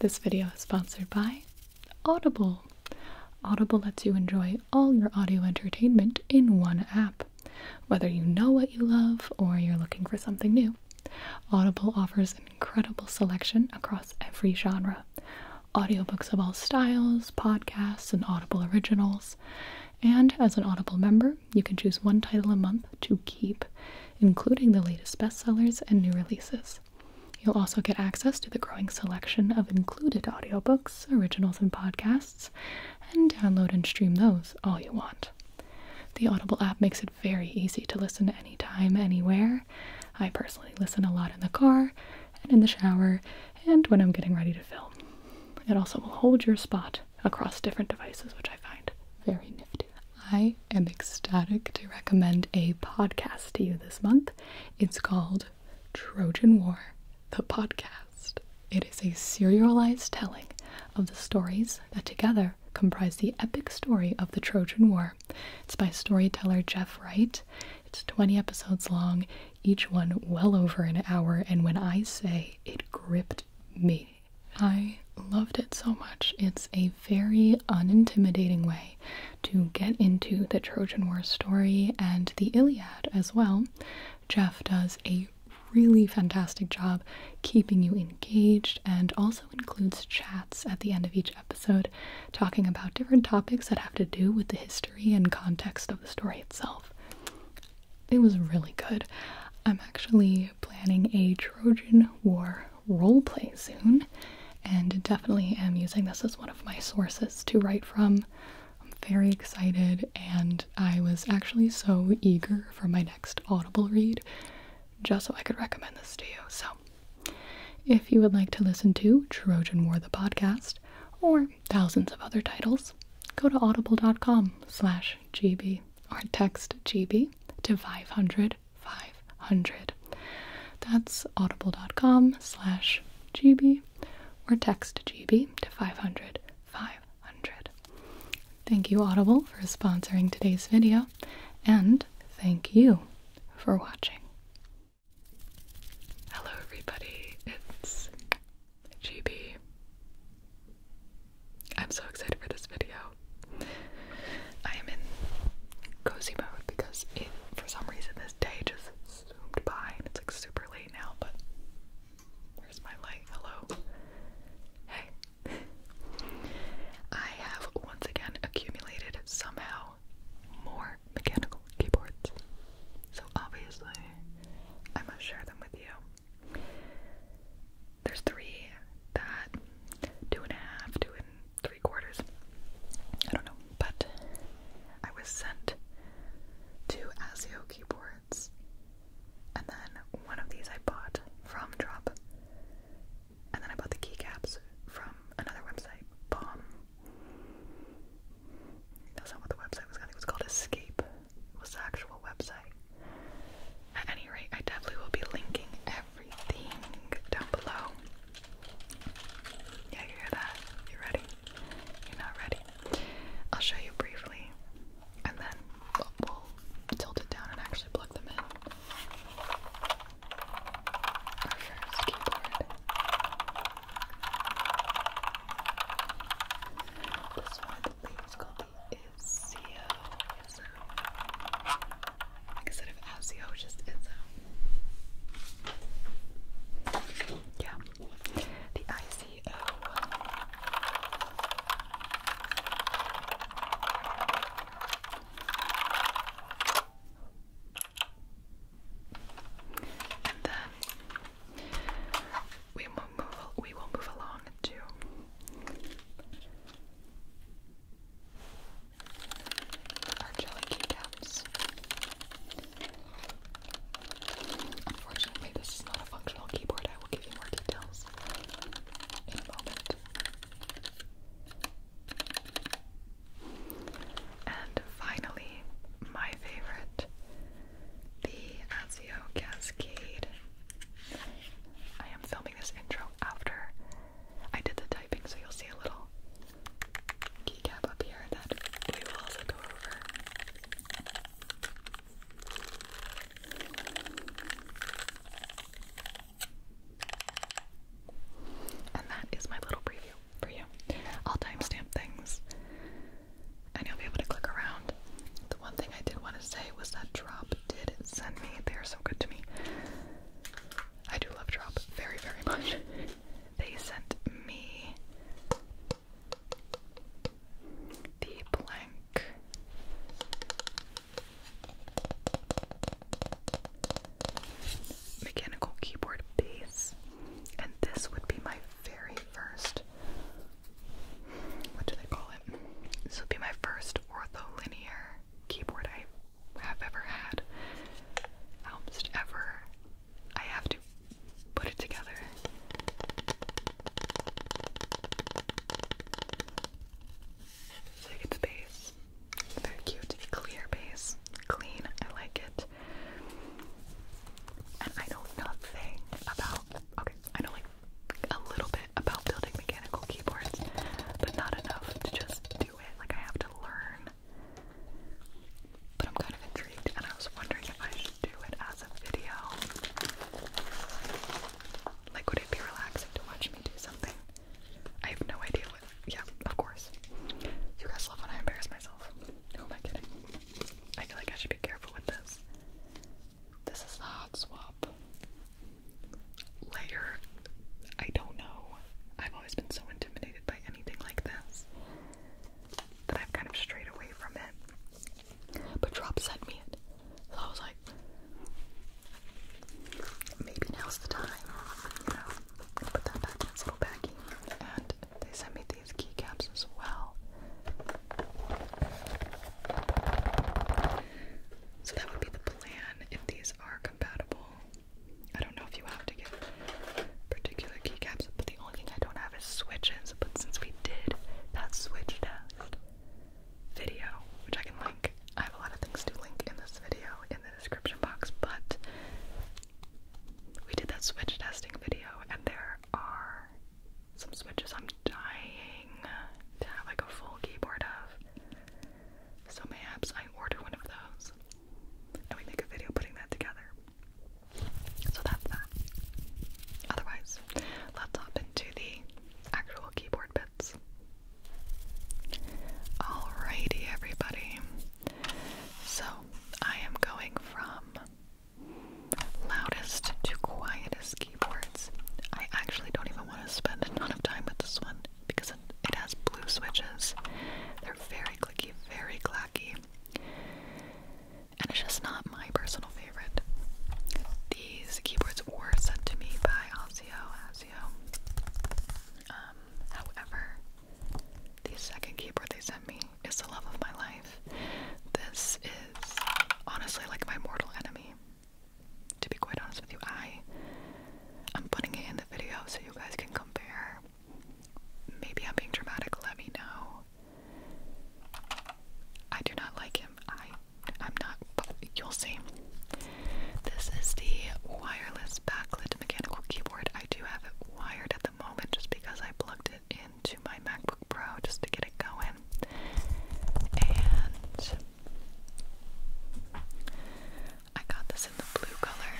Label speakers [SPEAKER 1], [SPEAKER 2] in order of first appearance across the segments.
[SPEAKER 1] This video is sponsored by Audible. Audible lets you enjoy all your audio entertainment in one app. Whether you know what you love or you're looking for something new, Audible offers an incredible selection across every genre. Audiobooks of all styles, podcasts, and Audible originals. And as an Audible member, you can choose one title a month to keep including the latest bestsellers and new releases. You'll also get access to the growing selection of included audiobooks, originals, and podcasts, and download and stream those all you want. The Audible app makes it very easy to listen anytime, anywhere. I personally listen a lot in the car and in the shower and when I'm getting ready to film. It also will hold your spot across different devices, which I find very nifty. I am ecstatic to recommend a podcast to you this month. It's called Trojan War, the podcast. It is a serialized telling of the stories that together comprise the epic story of the Trojan War. It's by storyteller Jeff Wright. It's 20 episodes long, each one well over an hour, and when I say it gripped me, I loved it so much. It's a very unintimidating way to get into the Trojan War story and the Iliad as well. Jeff does a really fantastic job keeping you engaged and also includes chats at the end of each episode talking about different topics that have to do with the history and context of the story itself. It was really good. I'm actually planning a Trojan War roleplay soon, and definitely am using this as one of my sources to write from. I'm very excited, and I was actually so eager for my next Audible read just so I could recommend this to you. So, if you would like to listen to Trojan War the podcast or thousands of other titles, go to audible.com slash gb or text gb to 500 500 that's audible.com slash gb or text gb to 500 500 thank you audible for sponsoring today's video and thank you for watching hello
[SPEAKER 2] everybody it's gb i'm so excited for this video I am in cozy mode because for some reason this day just zoomed by and it's like super late now, but where's my light? Hello? Hey. I have once again accumulated somehow more mechanical keyboards. So obviously I must share them with you there's three that two and a half, two and three quarters. I don't know, but I was sent two Azio keyboards, and then one of these I bought from Drop, and then I bought the keycaps from another website, Bomb. That's not what the website was called. It was called Escape. was the actual website. At any rate, I definitely will be linking down below. Yeah, you hear that? You ready? You're not ready. I'll show you briefly, and then we'll, tilt it down and actually plug them in. Our first keyboard. This one I believe is called the Izio instead of ASIO, oh, just ISO. Yeah, the ICO. And then we will move. We will move along to are jelly keycaps. Unfortunately, this is not a functional keyboard. I will give you more details in a moment. And finally, my favorite, the Azio Cascade. I am filming this intro after I did the typing, so you'll see a little keycap up here that we will also go over. And that is my little preview for you. I'll timestamp things and you'll be able to click around. The one thing I did want to say was that Drop did send me, they are so good to me. I do love Drop very, very much. They sent me the blank. Mechanical keyboard base, and this would be my very first. What do they call it? This would be my first ortholinear keyboard I have ever had. Almost ever. I have to put it together. So base. Very cute. Clear base. Clean. I like it. And I know nothing about. Okay, I know like a little bit about building mechanical keyboards, but not enough to just do it. Like, I have to learn. But I'm kind of intrigued, and I was wondering if I should do it as a video. Like, would it be relaxing to watch me do something? I have no idea what. Yeah, of course. You guys love when I embarrass myself. Who am I kidding? I feel like I should be careful with this. This is the hot swap layer. I don't know. I've always been so intimidated by anything like this that I've kind of strayed away from it. But Drop sent me it. So I was like, maybe now's the time, you know. Put that back in its little baggie. And they sent me these keycaps as well. So that would be the plan if these are compatible. I don't know if you have to get particular keycaps, but the only thing I don't have is switches. But since we did that switch test video, which I can link, I have a lot of things to link in this video in the description box, but we did that switch testing video, and there are some switches I'm dying to have like a full keyboard of. So mayhaps I order one of those and we make a video putting that together. So that's that. Otherwise, let's hop into the actual keyboard bits. Alrighty, everybody. So I am going from loudest to quietest keyboards. I actually don't even want to spend a ton of time with this one because it has blue switches. They're very clicky, very clacky. And it's just not my personal favorite. These keyboards were sent to me by Osio. Osio. Um, however, the second keyboard they sent me is the love of my life. This is honestly like my mortal enemy to be quite honest with you, I I'm putting it in the video so you guys can compare. Maybe I'm being dramatic, let me know. I do not like him. I I'm not but you'll see. This is the wireless backlit mechanical keyboard. I do have it wired at the moment just because I plugged it into my MacBook Pro just to get it going. And I got this in the blue color.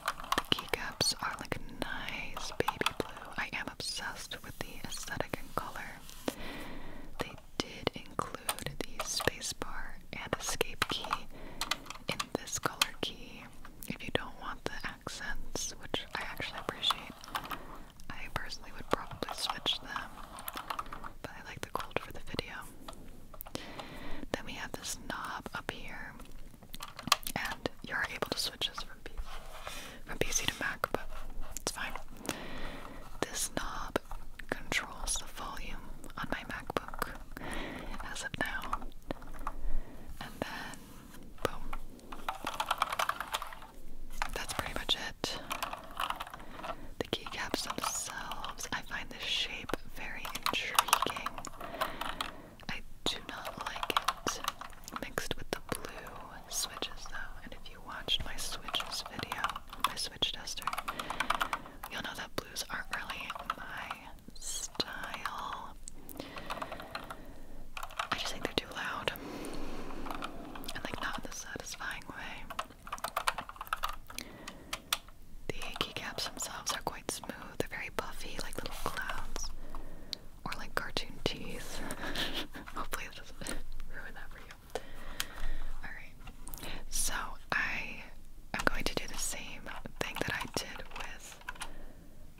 [SPEAKER 2] The keycaps are like nice baby blue. I am obsessed with the aesthetic and color. They did include the spacebar and escape key in this color key. If you don't want the accents, which I actually appreciate, I personally would probably switch them, but I like the cold for the video. Then we have this knob up here, and you're able to switch this from PC, from PC to Mac, but it's fine. This knob controls the volume on my MacBook as of now, and then boom, that's pretty much it. The keycaps themselves, I find this shape very intriguing. I do not like it mixed with the blue switches though, and if you watched my switches video, my switch tester, you'll know that blues aren't really my style. I just think they're loud and like not in the satisfying way. The keycaps themselves are quite smooth, they're very puffy, like little clouds or like cartoon teeth. Hopefully, it doesn't ruin that for you. Alright, so I am going to do the same thing that I did with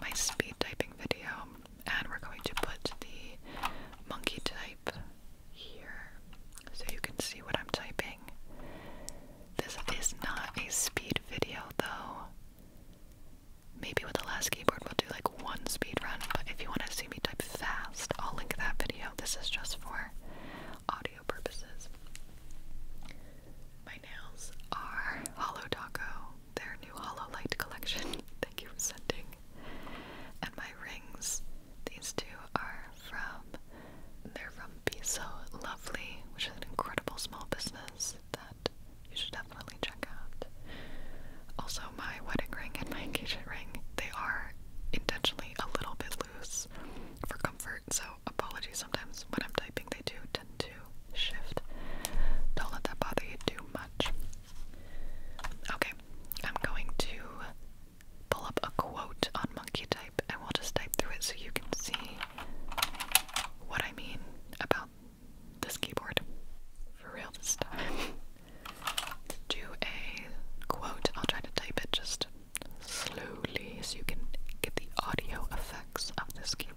[SPEAKER 2] my speed typing video, and we're going to put the monkey type here so you can see what I'm typing. This is not a speed video though. Maybe with the last keyboard we'll do like one speed run, but if you want to see me type fast, I'll link that video. This is just for audio purposes. My nails are Hollow Taco, their new Hollow Light collection. Thank you for sending. And my rings, these two are from, they're from Be So Lovely, which is an incredible small business that you should definitely check out. Also, my wedding ring and my engagement ring, they are intentionally a little bit loose for comfort, so apologies sometimes when I'm typing, they do tend to shift. Don't let that bother you too much. Okay, I'm going to pull up a quote on Monkey Type and we'll just type through it so you can see what I mean about this keyboard. For real this time. Do a quote. I'll try to type it just slowly so you can get the audio effects of this keyboard.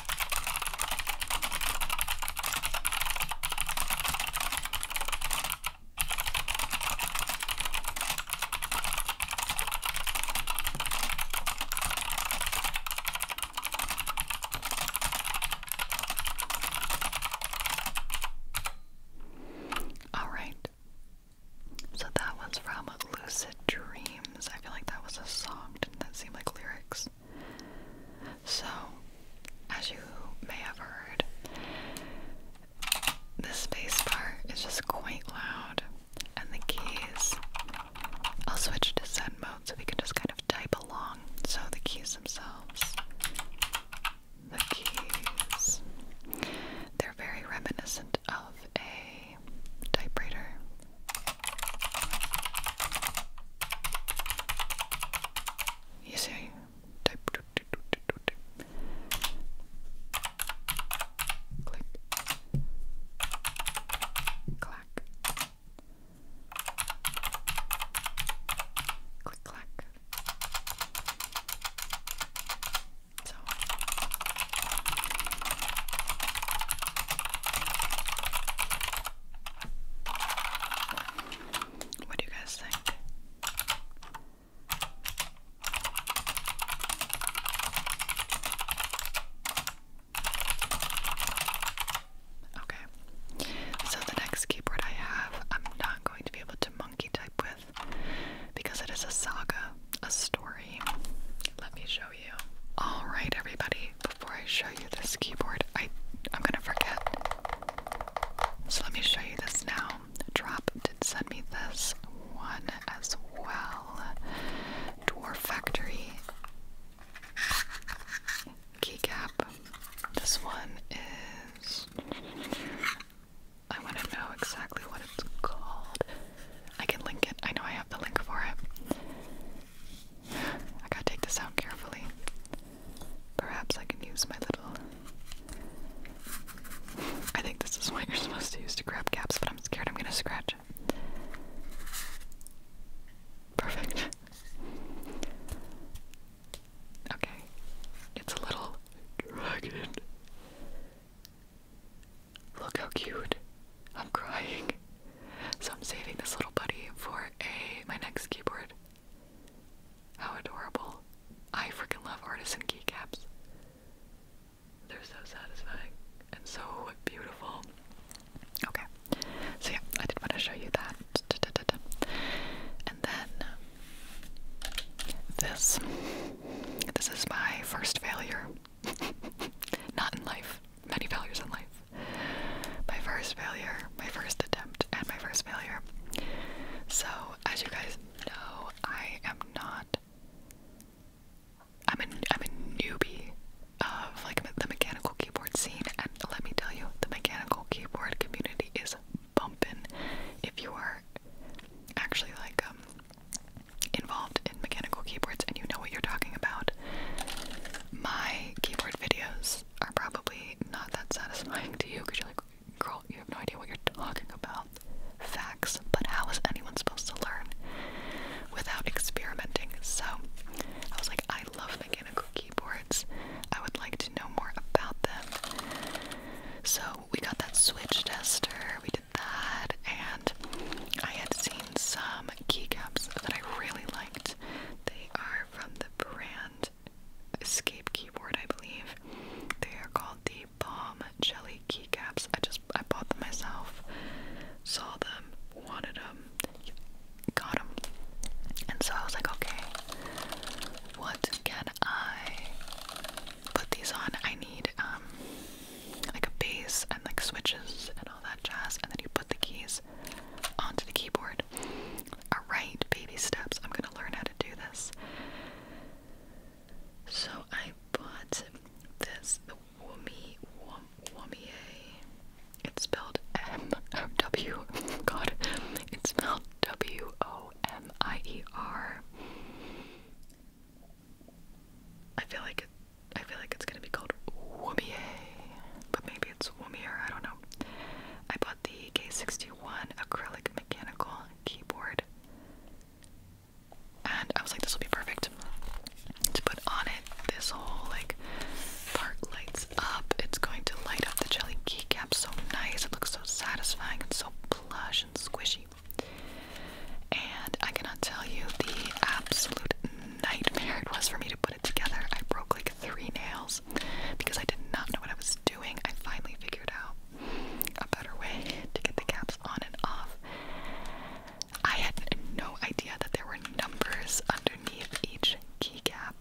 [SPEAKER 2] All right. So that was from lucid dreams. I feel like that was a song. Didn't that seem like lyrics? So, as you may have heard, this space bar is just quite loud, and the keys. I'll switch to send mode so we can just kind of type along. So, the keys themselves. The keys. They're very reminiscent of a typewriter. You click, clack, click, clack. So what do you guys think? Okay, so the next keyboard I have, I'm not going to be able to monkey type with because it is a saga, a story. Let me show you. All right, everybody. Before I show you this keyboard, I I'm gonna forget. So let me show you this now. Drop did send me this one as well. Dwarf Factory keycap. This one is. I want to know exactly what it's called. I can link it. I know I have the link for it. I gotta take this out carefully. Perhaps I can use my little. I think this is what you're supposed to use to grab caps, but I'm scared I'm gonna scratch Perfect. Okay. It's a little dragon. Look how cute. I'm crying. So I'm saving this little buddy for a my next keyboard. How adorable. I freaking love artisan keycaps. They're so satisfying and so beautiful. Okay. So yeah, I did want to show you that. And then this. This is my first failure. Not in life many failures in life. My first failure, my first attempt, and my first failure. So, as you guys know, I am not. I'm a, I'm a newbie of like the mechanical keyboard scene, and let me tell you, the mechanical keyboard community is bumping. If you are actually like um involved in mechanical keyboards and you know what you're talking about, my keyboard videos are probably not that satisfying to you because you're like, girl, you have no idea what you're talking about. Facts, but how is anyone supposed to learn without experimenting? So I was like, I love mechanical keyboards. I would like to know more about them. So we got that switch tester, we did that, and I had seen some keycaps that I really liked. They are from the brand Escape Keyboard, I believe. They are called the Palm Jelly Keycaps. I just I bought them myself, saw them, wanted them, got them, and so I was like, okay, what can I put these on? I need um like a bass and like switches and all that jazz, and then you put the keys onto the keyboard. Alright, baby steps. I'm gonna learn how to do this. So I bought this, the Wumi Wumier. It's spelled M W God. It's spelled W O M I E R. I feel like I feel like it's gonna be called Wumie, but maybe it's Wumier, I don't know. I bought the K61 acrylic mechanical keyboard, and I was like, this will be perfect to put on it. This whole like part lights up, it's going to light up the jelly keycap so nice, it looks so satisfying and so plush and squishy and I cannot tell you the absolute nightmare it was for me to put it together. I broke like three nails because I did not know what I was doing. I finally figured out a better way to get the caps on and off. I had no idea that there were numbers underneath each keycap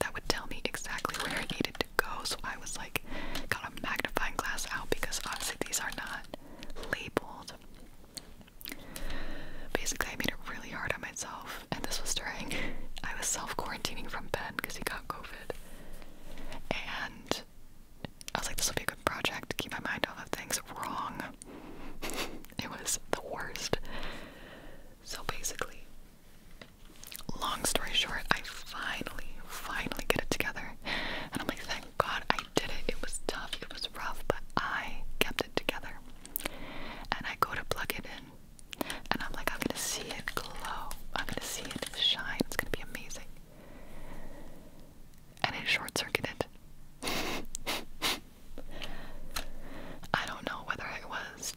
[SPEAKER 2] that would tell me exactly where I needed to go. So I was like, got a magnifying glass out because obviously these are not labeled. Basically, I made it really hard on myself, and this was during I was self quarantining from Ben because he got COVID, and I was like, this will be a good project. Keep my mind off of things. Wrong. it was the worst. So basically, long story short, I finally, finally get it together, and I'm like, thank God, I did it. It was tough, it was rough, but I kept it together. And I go to plug it in, and I'm like, I'm gonna see it glow, I'm gonna see it shine, it's gonna be amazing. And it short circuited. I don't know whether it was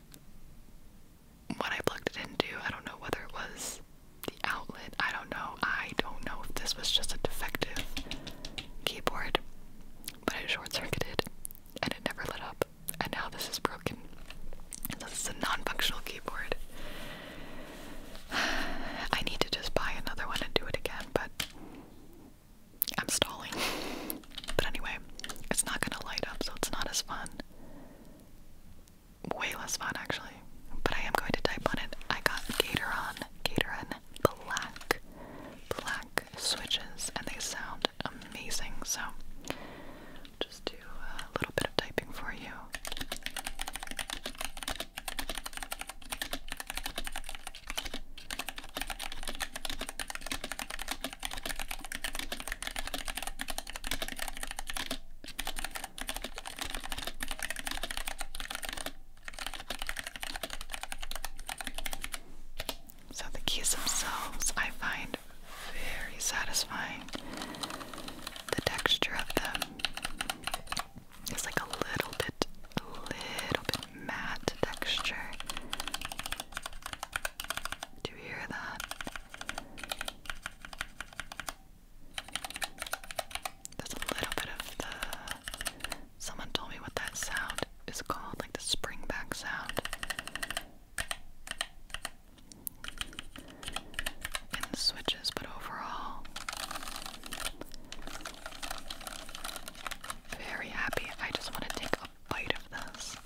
[SPEAKER 2] what I plugged it into, I don't know whether it was the outlet, I don't know. I don't know if this was just a defective keyboard but it short circuited and it never lit up. And now this is broken. This is a non functional keyboard. I need to just buy another one and do it again, but I'm stalling. But anyway, it's not gonna light up, so it's not as fun. Way less fun, actually. But I am going to type on it. I got Gateron, Gatoron, black, black switches, and they sound amazing. So, just do a little bit of typing for you. So the keys themselves I find very satisfying. The texture of them is like a little bit, little bit matte texture. Do you hear that? There's a little bit of the Someone told me what that sound is called, like the spring back sound. In switches, but overall, very happy. I just want to take a bite of this.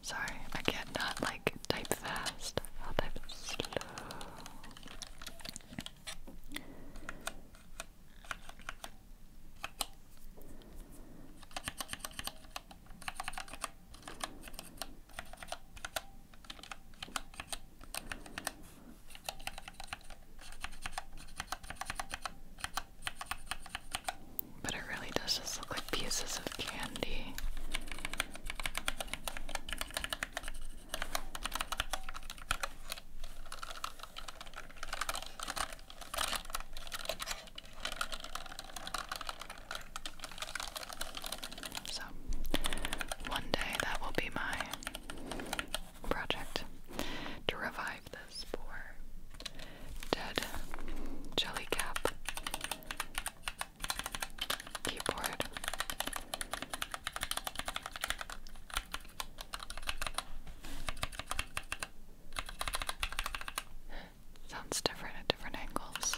[SPEAKER 2] Sorry, I not like type fast. I'll type slow. But it really does just look like pieces of candy. So one day that will be my project to revive this poor dead jellycap keyboard. Sounds different at different angles.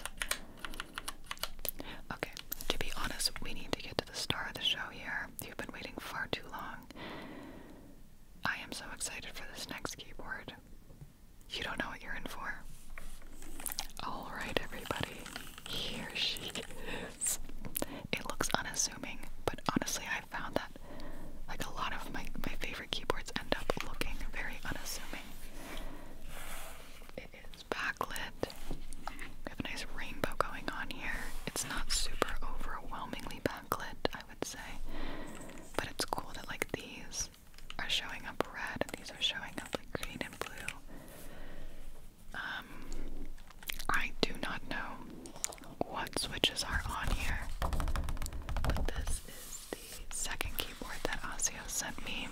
[SPEAKER 2] Okay, to be honest, we need to get to the star of the show here. You've been waiting far too long. I am so excited for this next keyboard. You don't know what you're in for. Alright, everybody, here she is. It looks unassuming, but honestly, I found that like a lot of my, my favorite keyboards end up looking very unassuming. It is backlit. have a nice rainbow going on here. It's not super overwhelmingly backlit, I would say. But it's cool that like these are showing up red these are showing up like green and blue. Um I do not know what switches are on here. But this is the second keyboard that Osseo sent me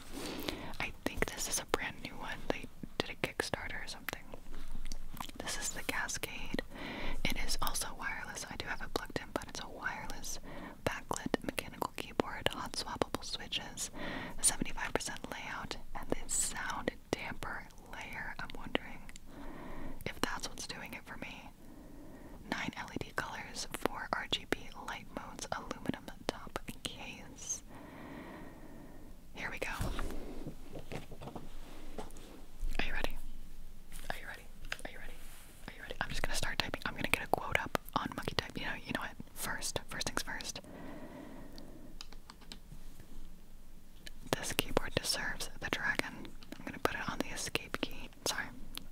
[SPEAKER 2] think this is a brand new one. They did a Kickstarter or something. This is the Cascade. It is also wireless. I do have a plugged in, but it's a wireless backlit mechanical keyboard, hot swappable switches, 75% layout, and this sound damper layer. I'm wondering if that's what's doing it for me. 9 LED colors, 4 RGB light modes, aluminum top case. Here we go. Are you ready? Are you ready? Are you ready? Are you ready? I'm just gonna start typing. I'm gonna get a quote up on monkey type. You know, you know what? First, first things first. This keyboard deserves the dragon. I'm gonna put it on the escape key. Sorry,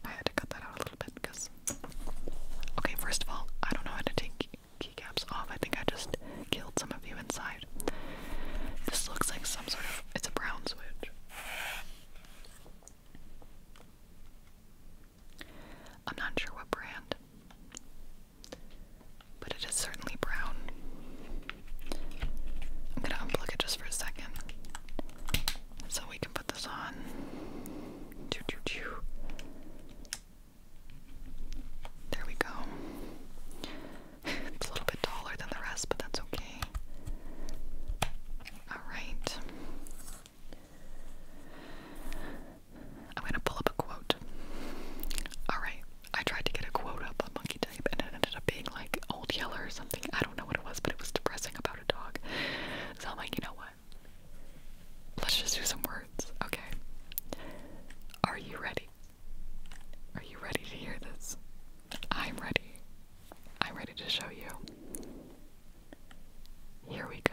[SPEAKER 2] I had to cut that out a little bit because. Okay, first of all, I don't know how to take keycaps off. I think I just killed some of you inside. This looks like some sort of it's a brown switch. I'm not sure what brand, but it is certainly brown. I'm gonna unplug it just for a second so we can put this on. Choo, choo, choo. There we go. it's a little bit taller than the rest, but that's okay. Alright. I'm gonna pull up a quote. Alright. I tried to get a quote up on Monkey Type and it ended up being like Old Yeller or something. I don't know what it was, but it was depressing about a dog. So I'm like, you know what? Let's just do some work Okay. Are you ready? Are you ready to hear this? I'm ready. I'm ready to show you. Here we go.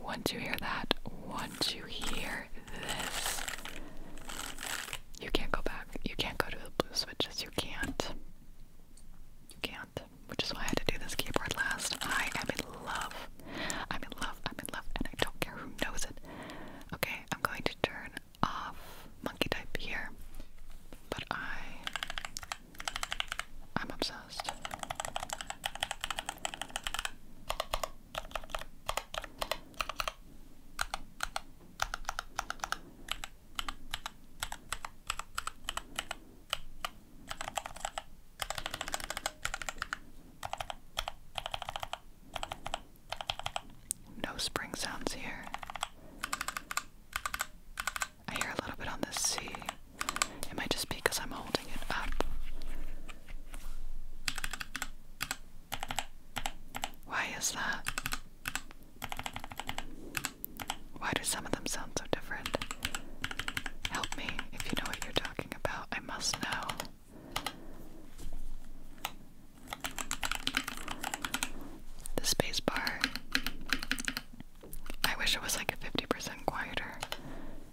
[SPEAKER 2] Once you hear that, once you hear this, you can't go back. You can't go to the blue switches. You can't. You can't. Which is why I had to do this keyboard last. I am in love. I'm in love. I'm in love. And I don't care who knows it. Okay, I'm going to turn off monkey type here. But I I'm obsessed. No spring sounds here. I hear a little bit on the C. It might just be because I'm holding it up. Why is that? Why do some of them sound so different? Help me if you know what you're talking about. I must know. The spacebar. I wish it was like 50% quieter,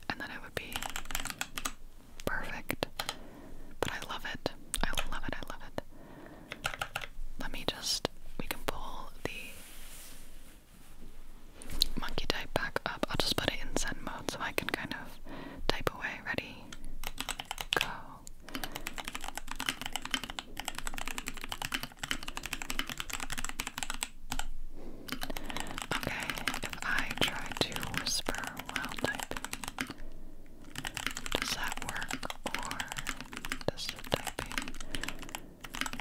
[SPEAKER 2] and then it would be perfect. But I love it. I love it. I love it. Let me just. We can pull the monkey type back up. I'll just put it in Zen mode so I can kind of type away. Ready? Go. Okay, I try to whisper while typing, does that work or does the typing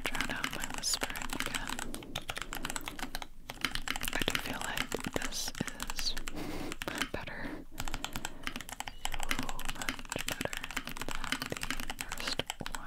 [SPEAKER 2] drown out my whispering again? I feel like this is better. much better than the first one.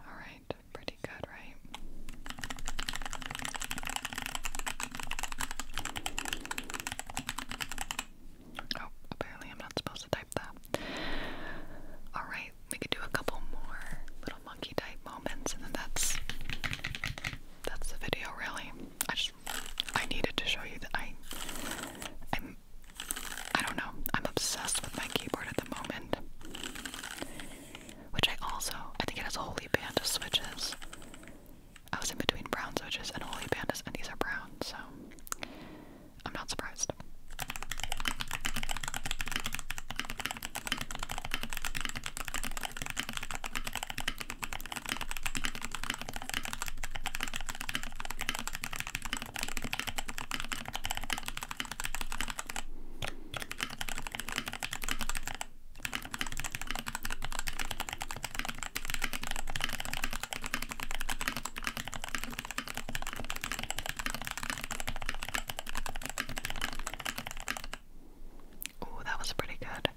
[SPEAKER 2] All right, pretty good, right? Oh, apparently I'm not supposed to type that. All right, we could do a couple more little monkey type moments, and then that's that's the video. Really, I just I needed to show you that I I'm I am do not know. I'm obsessed with my keyboard at the moment. Which I also I think it has holy panda switches. I was in between brown switches and holy pandas and these are brown, so I'm not surprised. Oh, that was pretty good.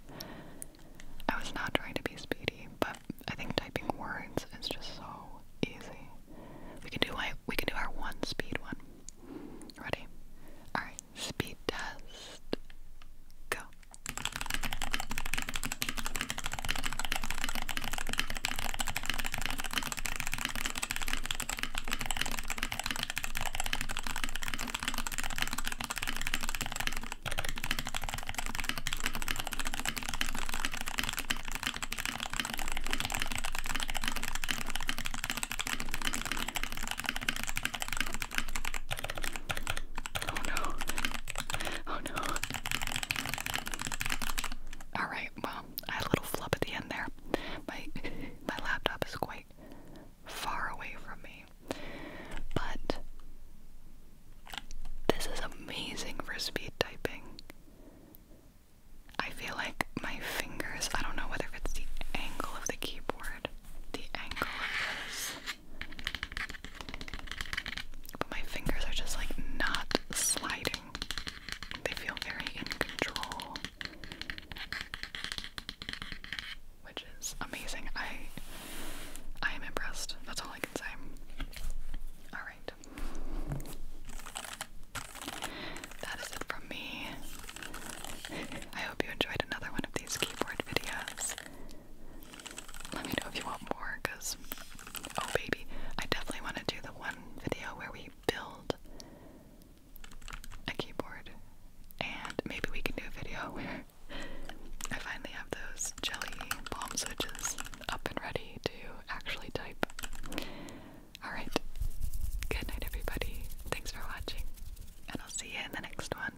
[SPEAKER 2] I was not trying to be speedy, but but I think typing words is just so easy. We can do like we can do our one speed one. Ready? All right, speed test. Go. Oh no. Oh no. Alright, well, I had a little flub at the end there. My my laptop is quite far away from me. But this is amazing for speed typing. I feel like my fingers, I don't know whether it's the angle of the keyboard, the angle of this, but my fingers are just like not sliding. They feel very in control, which is amazing. I I am impressed. That's all I can say. All right. That is it from me. I hope you enjoyed another one of these keyboard videos. Let me know if you want more, because, oh baby, I definitely want to do the one video where we build a keyboard. And maybe we can do a video where I finally have those these jelly bomb switches up and ready to actually type. Alright, good night, everybody. Thanks for watching, and I'll see you in the next one.